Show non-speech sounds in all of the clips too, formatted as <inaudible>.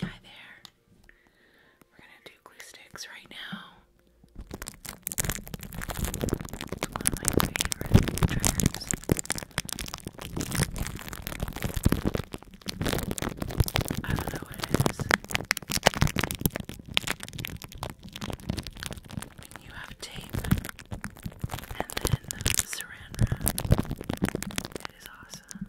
Hi there. We're gonna do glue sticks right now. I don't know what it is. you have tape and then saran wrap. It is awesome.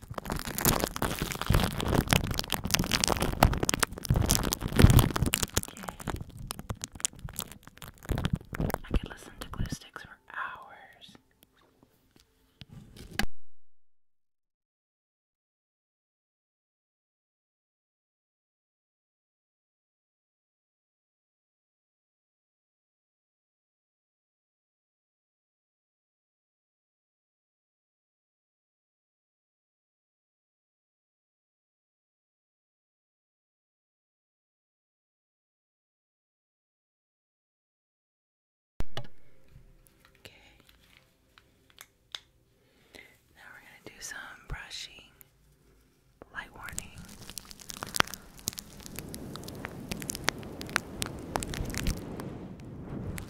I could listen to glue sticks for hours. Okay. Now we're going to do some brushing. Light warning.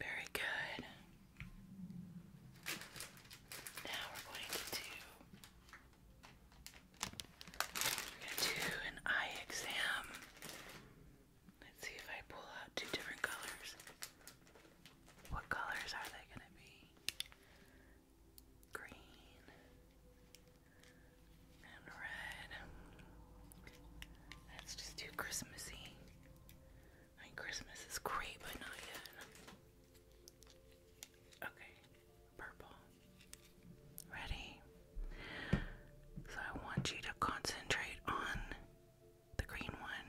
Very good. Now we're going to do we're going to do an eye exam Let's see if I pull out two different colors. What colors are they going to be? Green and red. let just too Christmassy. I Christmas is great, but not yet. Okay, purple. Ready? So I want you to concentrate on the green one.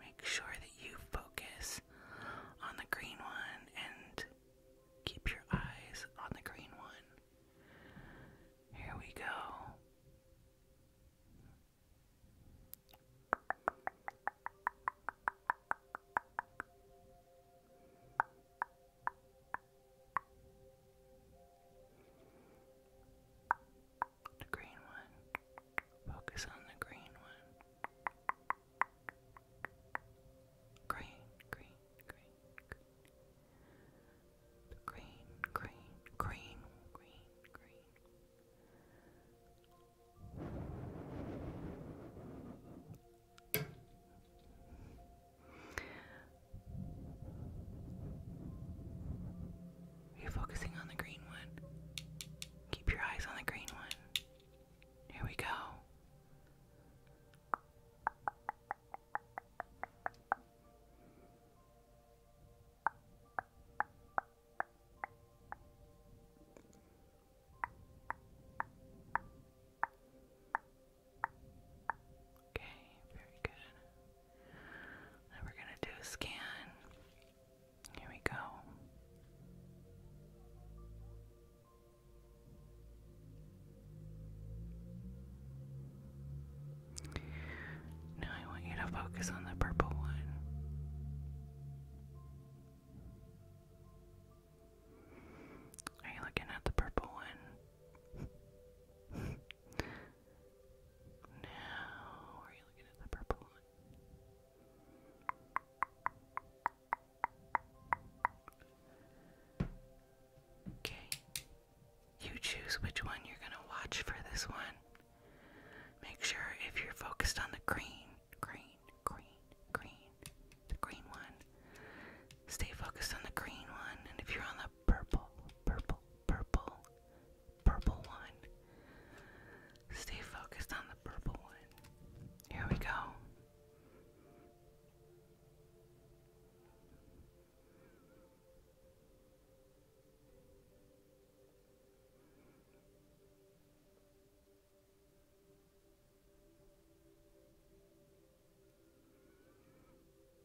Make sure that you focus on the green one and keep your eyes on the green one. Here we go the green one. Focus on the green one. Green, green, green, The green, green, green, green, green. You're focusing on the green one. Keep your eyes on the green one. Here we go. Okay, very good. Then we're going to do a scan. Here we go. Now I want you to focus on the purple one. Are you looking at the purple one? <laughs> Now, are you looking at the purple one? Okay. You choose which one you're going to watch for this one. Make sure if you're focused on the green, green, green, green, the green one, stay focused on the green one. And if you're on the purple, purple, purple, purple one. Stay focused on the purple one. Here we go.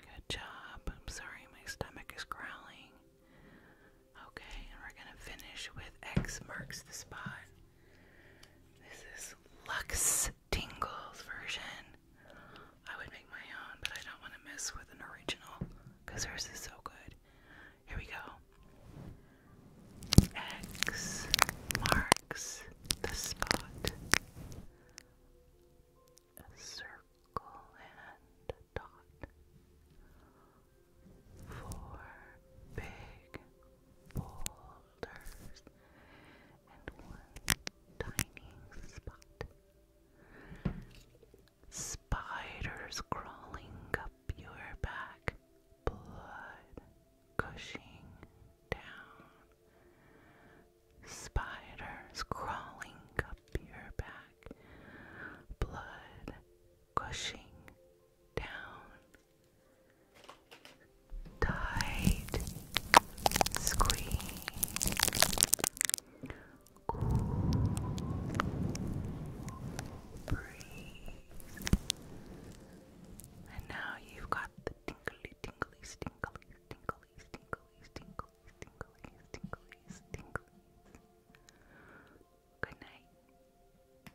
Good job. I'm sorry my stomach is growling. Okay, we're going to finish with X marks the spot. This is Lux Tingle's version. I would make my own, but I don't want to mess with an original because hers is so good. Here we go. X marks the spot. A circle and a dot four big boulders and one tiny spot. Spiders crawling up your back, blood gushing down. Spiders crawling up your back, blood gushing down. Tight squeeze. Cool And now you've got the tingly, tingly, tingly, tingly, tingly, tingly, tingly, tingly, tingly. Good night.